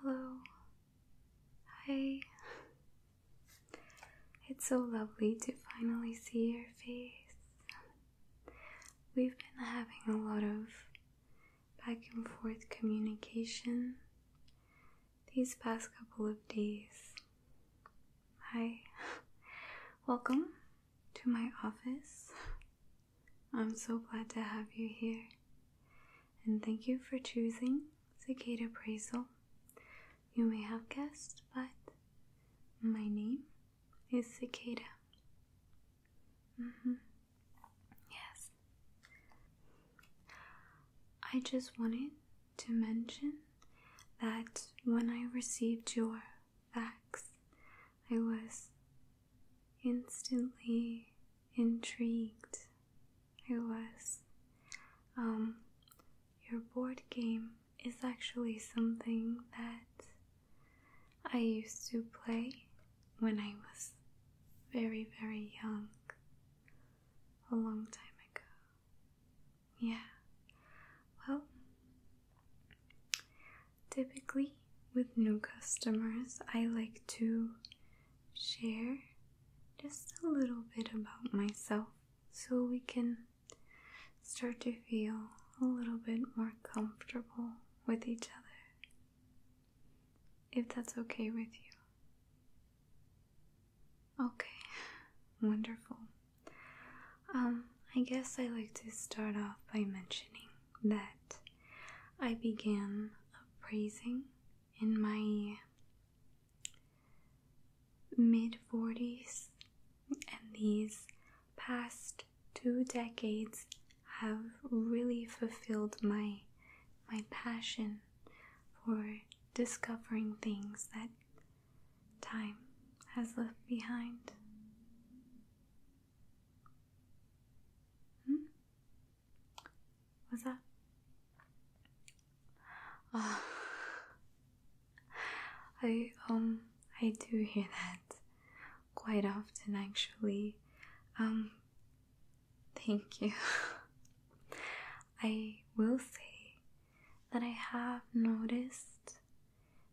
Hello. Hi. It's so lovely to finally see your face. We've been having a lot of back and forth communication these past couple of days. Hi. Welcome to my office. I'm so glad to have you here. And thank you for choosing Cicada Appraisal. You may have guessed, but my name is Cicada. Mm-hmm. Yes. I just wanted to mention that when I received your facts, I was instantly intrigued. I was. Um, your board game is actually something that I used to play when I was very, very young, a long time ago. Yeah. Well, typically with new customers, I like to share just a little bit about myself so we can start to feel a little bit more comfortable with each other. If that's okay with you. Okay, wonderful. Um, I guess I like to start off by mentioning that I began appraising in my mid 40s, and these past two decades have really fulfilled my my passion for discovering things that time has left behind. Hmm? What's that? I um I do hear that quite often actually. Um, thank you. I will say that I have noticed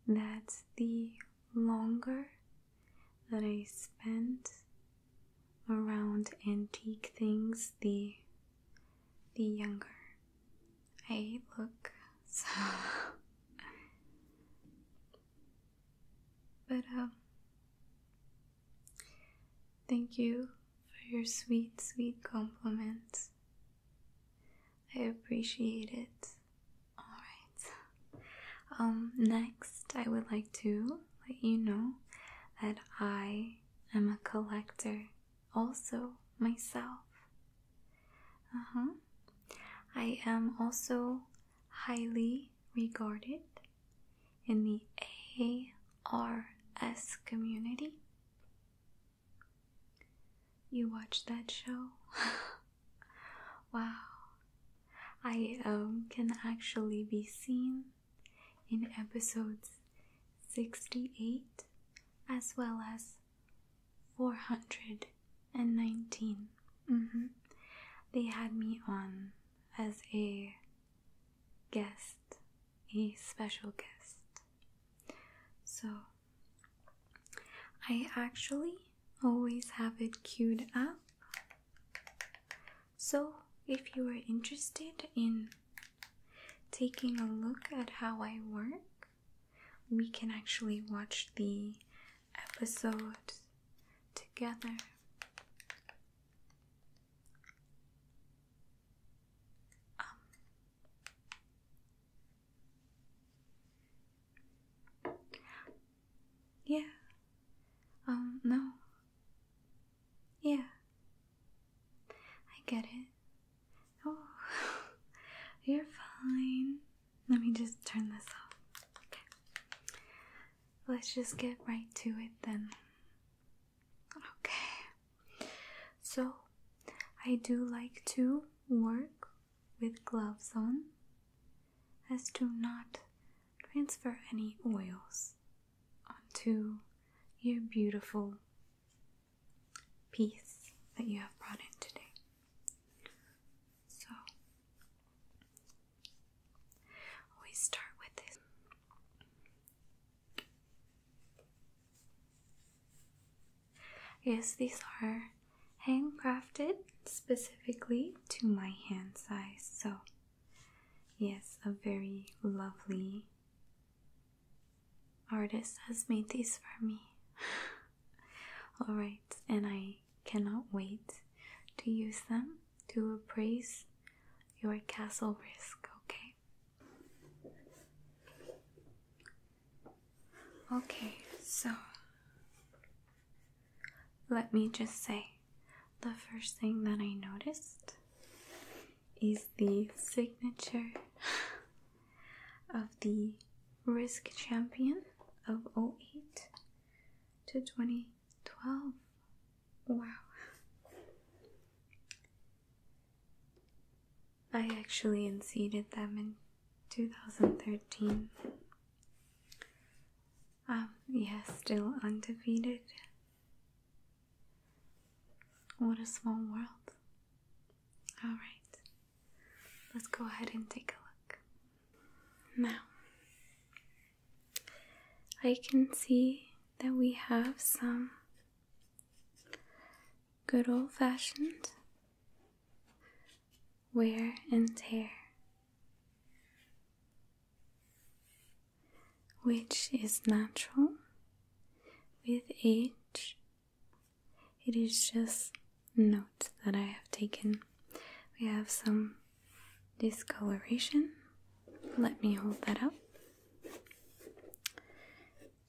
that the longer that I spend around antique things, the the younger I look. So, but um, thank you for your sweet, sweet compliments. I appreciate it. Alright. Um, next, I would like to let you know that I am a collector, also myself. Uh huh. I am also highly regarded in the ARS community. You watch that show? wow. I um, can actually be seen in episodes 68 as well as 419. Mm -hmm. They had me on as a guest a special guest. So I actually always have it queued up. So if you are interested in taking a look at how I work, we can actually watch the episode together. Um, yeah. Um, no. Yeah. I get it. Oh, you're fine. Let me just turn this off. Let's just get right to it then. Okay. So, I do like to work with gloves on as to not transfer any oils onto your beautiful piece that you have brought in today. So, always start with Yes, these are handcrafted specifically to my hand size. So, yes, a very lovely artist has made these for me. Alright, and I cannot wait to use them to appraise your castle risk, okay? Okay, so let me just say the first thing that I noticed is the signature of the risk champion of 08 to 2012. Wow. I actually unseated them in 2013. Um, yeah, still undefeated. What a small world. Alright, let's go ahead and take a look. Now, I can see that we have some good old fashioned wear and tear, which is natural with age. It is just notes that I have taken. We have some discoloration. Let me hold that up.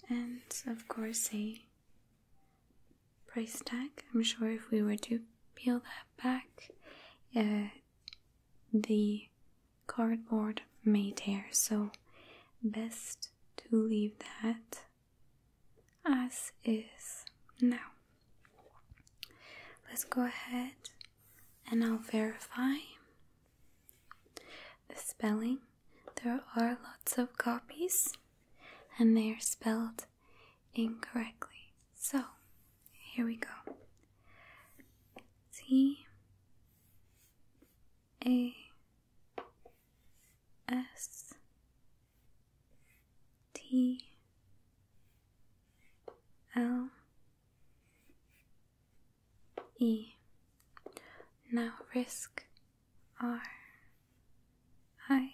And of course, a price tag. I'm sure if we were to peel that back, uh, the cardboard may tear, so best to leave that as is. Now, let's go ahead and I'll verify the spelling there are lots of copies and they are spelled incorrectly. So here we go T A S T L E. Now risk R I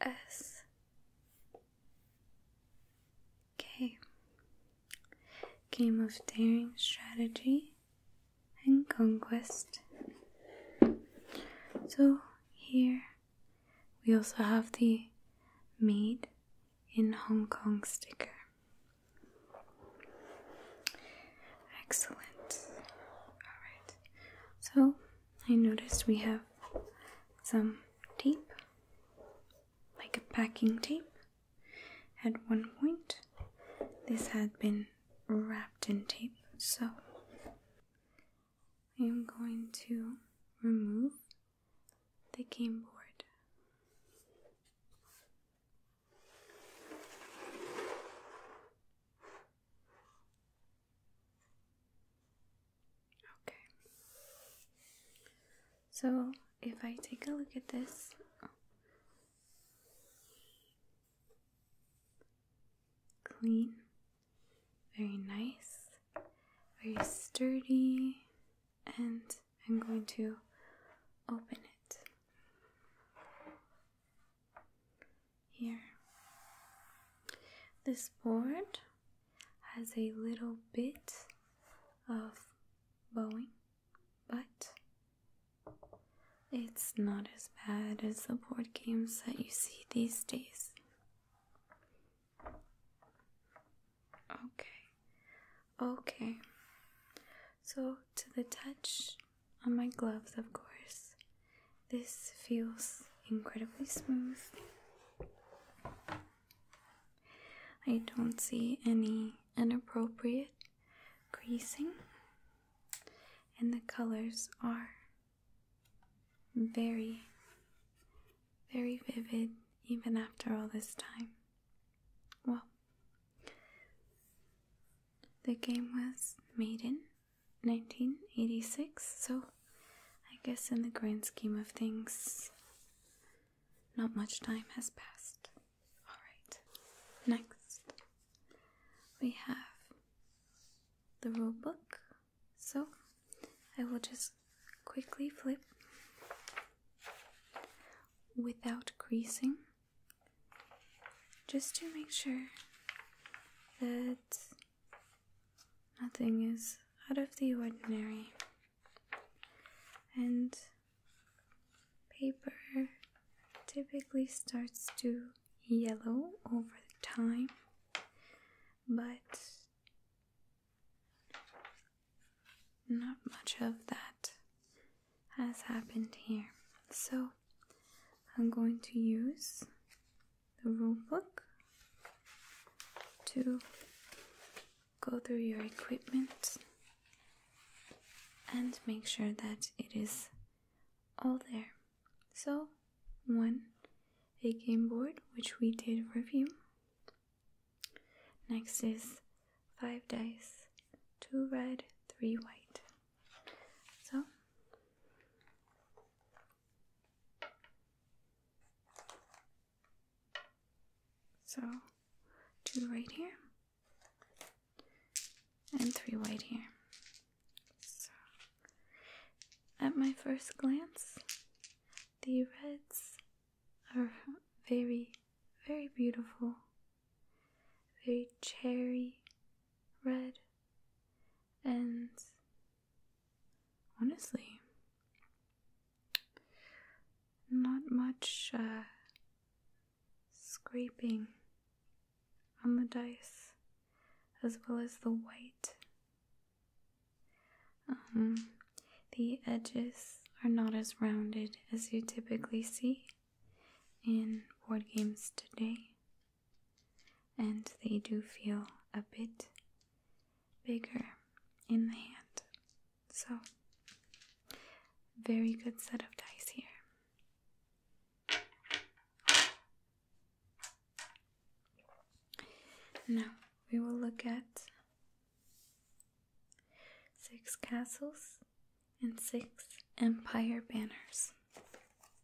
S K Game of Daring Strategy and Conquest. So here we also have the Made in Hong Kong sticker. Excellent. Alright, so I noticed we have some tape, like a packing tape. At one point, this had been wrapped in tape, so I am going to remove the game board. Okay. So if I take a look at this, clean, very nice, very sturdy, and I'm going to open it here. This board has a little bit of bowing, but it's not as bad as the board games that you see these days. Okay, okay. So, to the touch, on my gloves, of course. This feels incredibly smooth. I don't see any inappropriate creasing, and the colors are very, very vivid even after all this time. Well, the game was made in. 1986, so I guess in the grand scheme of things, not much time has passed. Alright, next we have the rule book, so I will just quickly flip without creasing just to make sure that nothing is out of the ordinary. And paper typically starts to yellow over time, but not much of that has happened here. So I'm going to use the rule book to go through your equipment and make sure that it is all there. So, one, a game board which we did review. Next is five dice, two red, three white. So so two right here and three right here. So at my first glance, the reds are very, very beautiful, very cherry red, and honestly, not much uh, scraping on the dice, as well as the white. Um, the edges are not as rounded as you typically see in board games today and they do feel a bit bigger in the hand. So, very good set of dice here. Now we will look at six castles and six empire banners.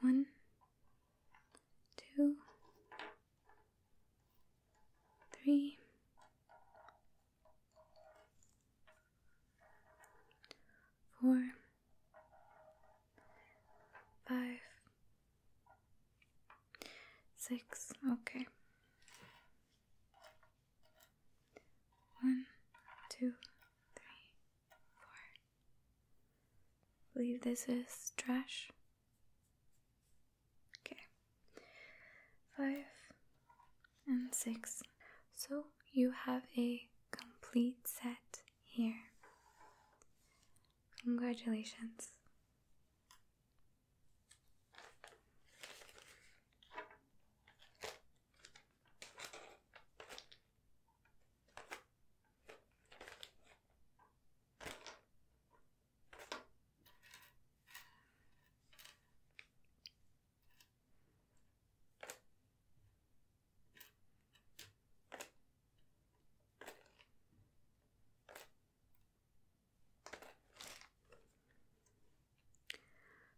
one, two, three, four, five, six. Okay. One, two, three, I believe this is trash. Okay. Five and six. So you have a complete set here. Congratulations.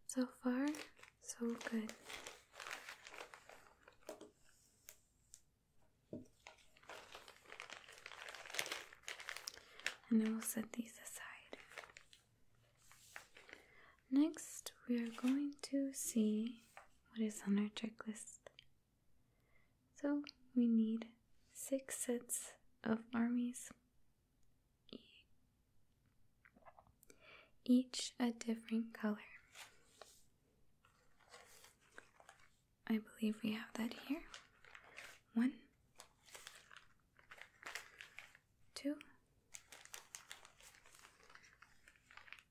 So far, so good. And then we will set these aside. Next, we are going to see what is on our checklist. So, we need six sets of armies, each a different color. I believe we have that here. One, two,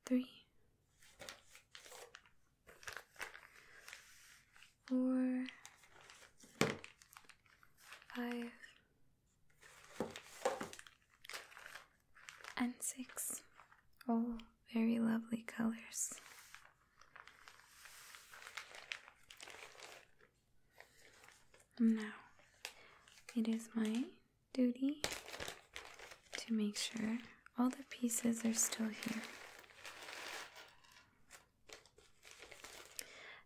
three, four, five, and six. All oh, very lovely colors. Now, it is my duty to make sure all the pieces are still here.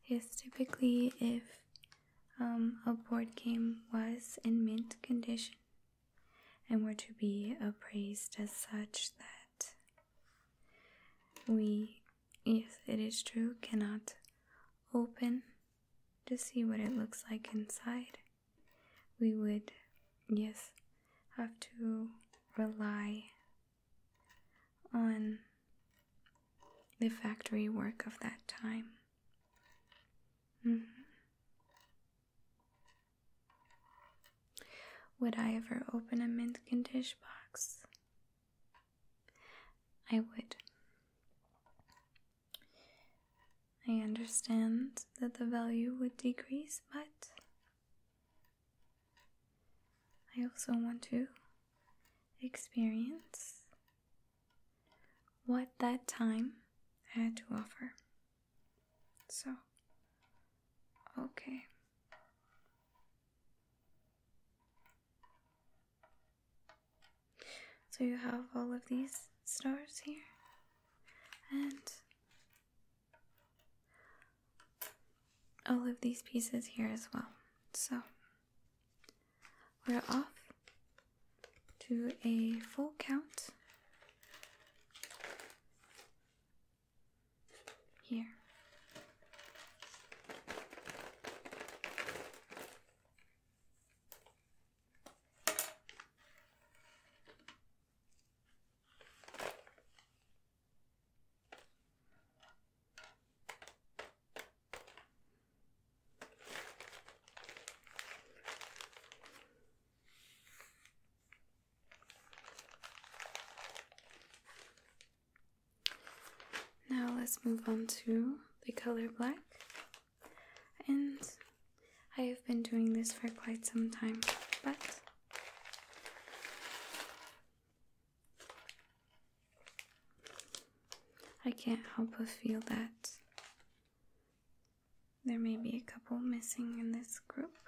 Yes, typically, if um, a board game was in mint condition, and were to be appraised as such that we, if it is true, cannot open to see what it looks like inside. We would, yes, have to rely on the factory work of that time. Mm-hmm. Would I ever open a mint condish box? I would. I understand that the value would decrease, but I also want to experience what that time had to offer. So, okay. So you have all of these stars here, and all of these pieces here as well. So, we're off do a full count here. Now let's move on to the color black. And I have been doing this for quite some time, but I can't help but feel that there may be a couple missing in this group.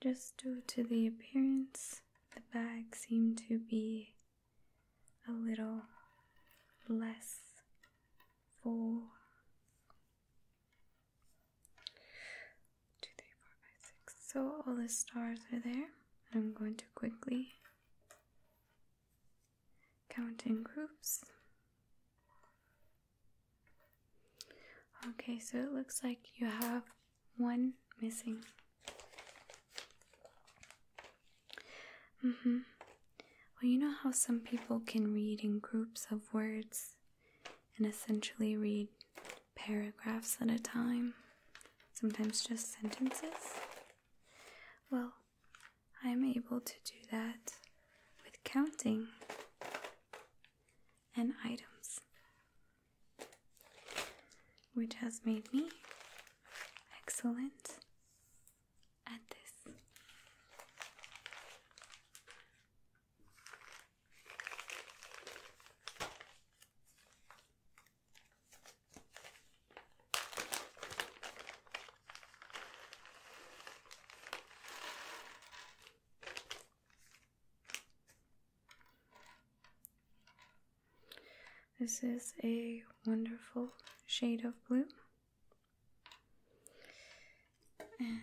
Just due to the appearance, the bag seemed to be a little less full. Two, three, four, five, six. So all the stars are there. I'm going to quickly count in groups. Okay, so it looks like you have one missing. Mm-hmm. Well, you know how some people can read in groups of words and essentially read paragraphs at a time, sometimes just sentences? Well, I'm able to do that with counting and items, which has made me excellent at this. This is a wonderful shade of blue. And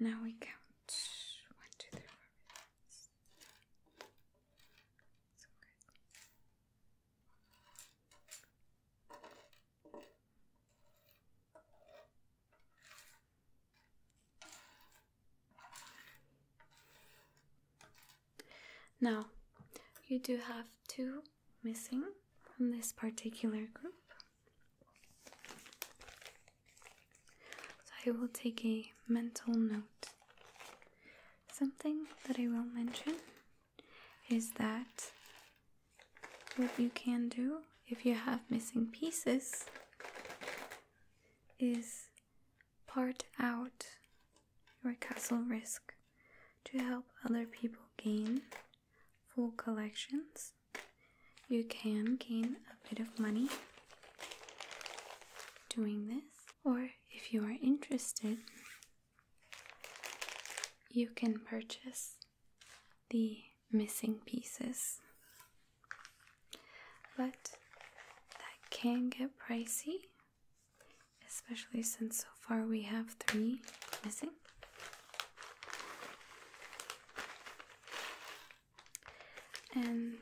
now we count. One, two, three, four, five, six. Now, you do have two missing from this particular group. So I will take a mental note. Something that I will mention is that what you can do if you have missing pieces is part out your castle risk to help other people gain full collections. You can gain a bit of money doing this, or if you are interested you can purchase the missing pieces, but that can get pricey, especially since so far we have three missing. And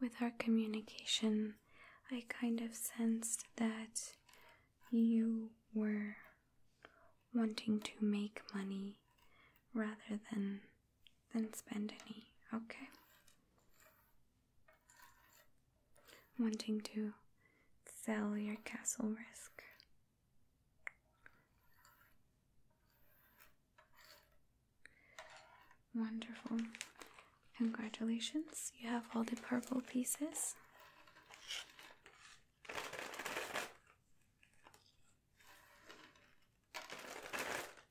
with our communication I kind of sensed that you were wanting to make money rather than than spend any, okay? Wanting to sell your castle risk. Wonderful. Congratulations, you have all the purple pieces.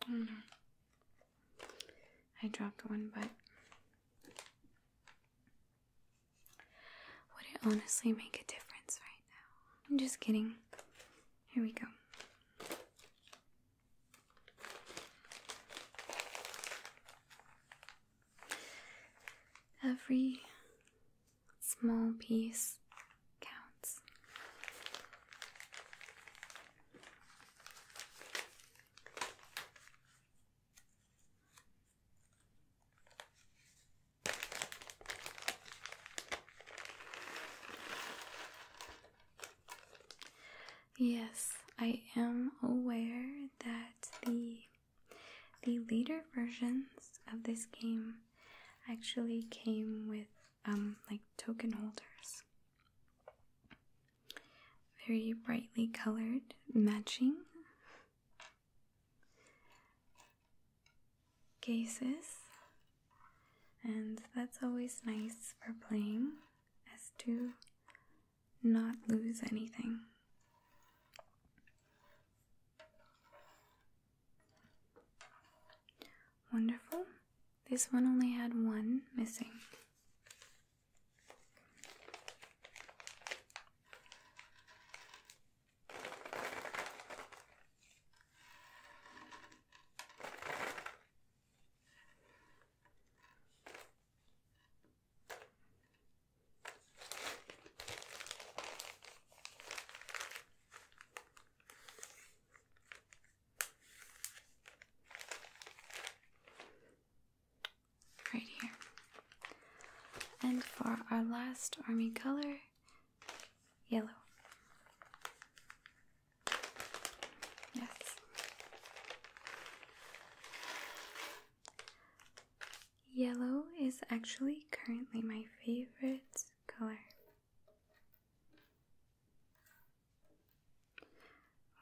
Mm. I dropped one, but would it honestly make a difference right now? I'm just kidding. Here we go. Every small piece counts. Yes, I am aware that the the later versions of this game actually came with um like token holders. Very brightly colored, matching cases. And that's always nice for playing as two not lose anything. Wonderful. This one only had one missing. Right here. And for our last army color, yellow. Yes. Yellow is actually currently my favorite color.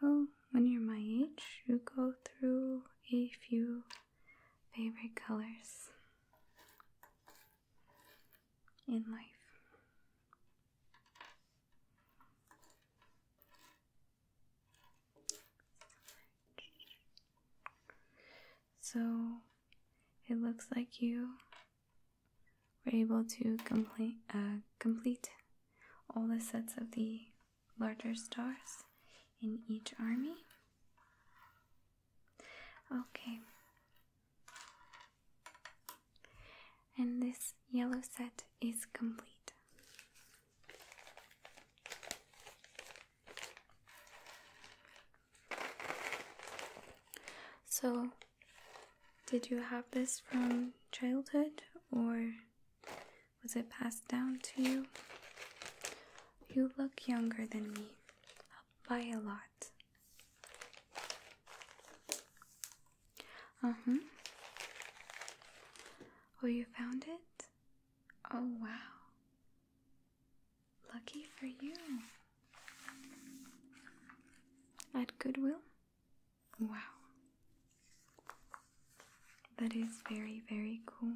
Well, when you're my age, you go through a few favorite colors in life. So it looks like you were able to uh, complete, all the sets of the larger stars in each army. Okay. And this yellow set is complete. So, did you have this from childhood or was it passed down to you? You look younger than me by a lot. Uh huh. Oh, you found it? Oh, wow. Lucky for you. At Goodwill? Wow. That is very, very cool.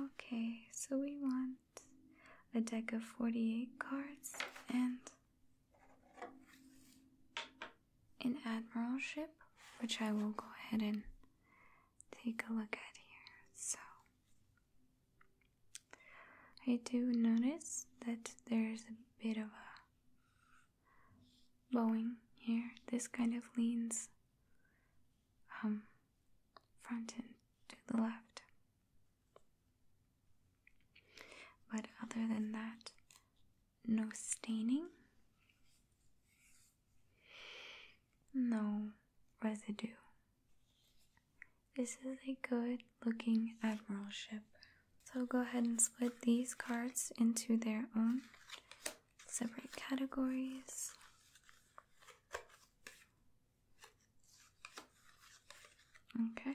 Okay, so we want a deck of 48 cards and an admiral ship, which I will go ahead and take a look at here. So, I do notice that there's a bit of a bowing here. This kind of leans um, front and to the left. But other than that, no staining? No residue. This is a good looking admiral ship. So go ahead and split these cards into their own separate categories. Okay.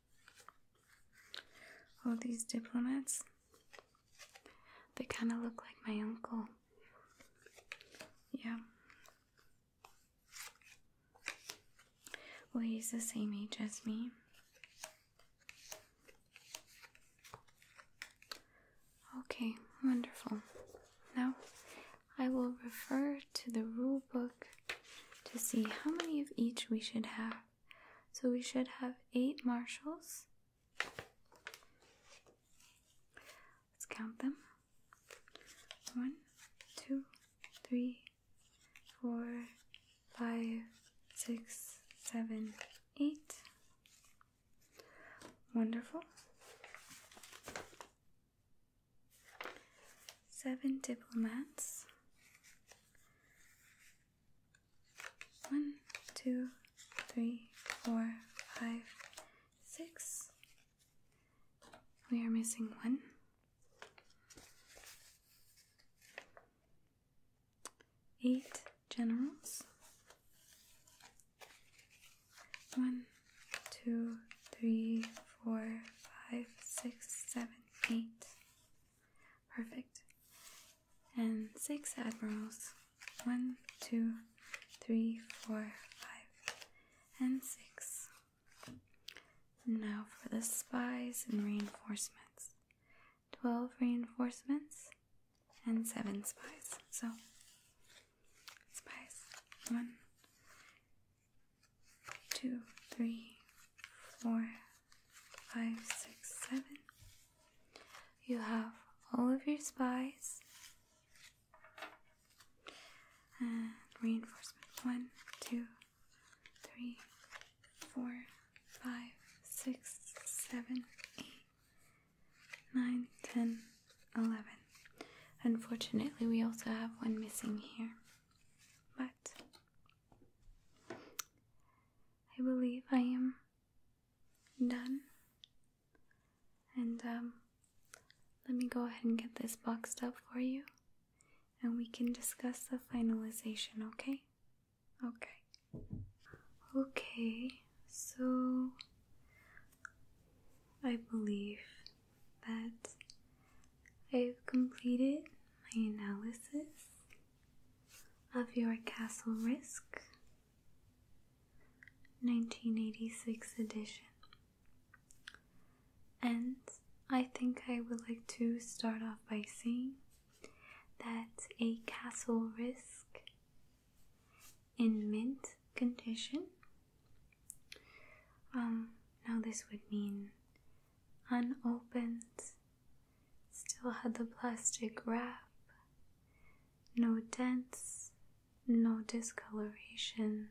All these diplomats, they kind of look like my uncle. Yeah. Well, he's the same age as me. Okay, wonderful. Now I will refer to the rule book to see how many of each we should have. So we should have eight marshals. Let's count them. One, two, three, four, five, six, seven, eight. Wonderful seven diplomats, one, two, three, four, five, six. We are missing one. Eight generals. One, two, three, four, five, six, seven, eight. Perfect. And six admirals. One, two, three, four, five, and six. Now for the spies and reinforcements. Twelve reinforcements and seven spies. So, spies. One, two, three, four, five, six, seven. You have all of your spies and reinforcement one, two, three, four, five, six, seven, eight, nine, ten, eleven. Unfortunately, we also have one missing here, but I believe I am done. And um, let me go ahead and get this boxed up for you, and we can discuss the finalization, okay? Okay. Okay, so I believe that I've completed my analysis of your Castle Risk 1986 edition, and I think I would like to start off by saying that a Castle Risk in mint condition. Um, now, this would mean unopened, still had the plastic wrap. No dents, no discoloration.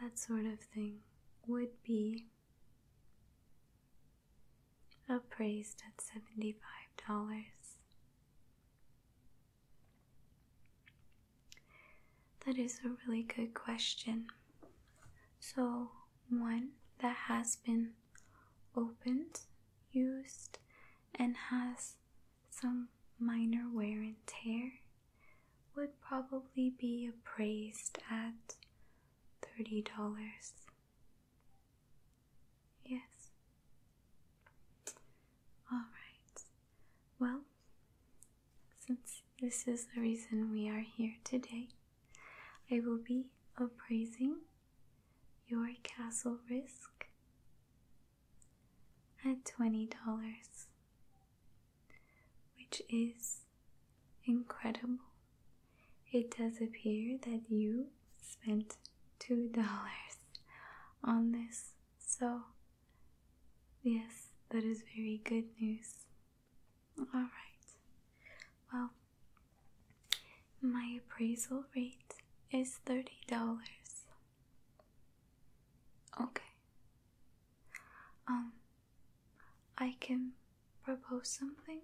That sort of thing would be appraised at $75. That is a really good question. So, one that has been opened, used, and has some minor wear and tear would probably be appraised at $30. Yes. All right. Well, since this is the reason we are here today, I will be appraising your castle risk at $20, which is incredible. It does appear that you spent $2 on this, so yes, that is very good news. All right. Well, my appraisal rate is $30. Okay. Um, I can propose something?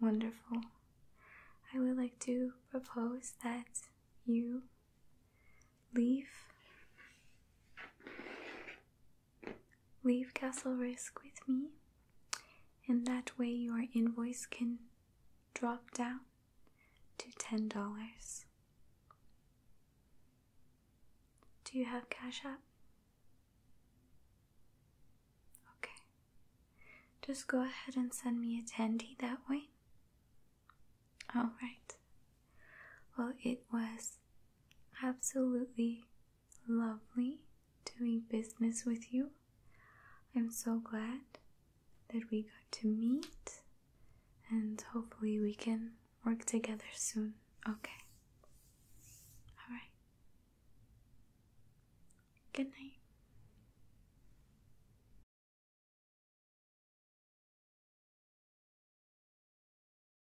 Wonderful. I would like to propose that you leave leave Castle Risk with me, and that way your invoice can drop down to $10. Do you have Cash App? Okay. Just go ahead and send me a tendy that way. Alright, well, it was absolutely lovely doing business with you. I'm so glad that we got to meet, and hopefully, we can work together soon. Okay. All right. Good night.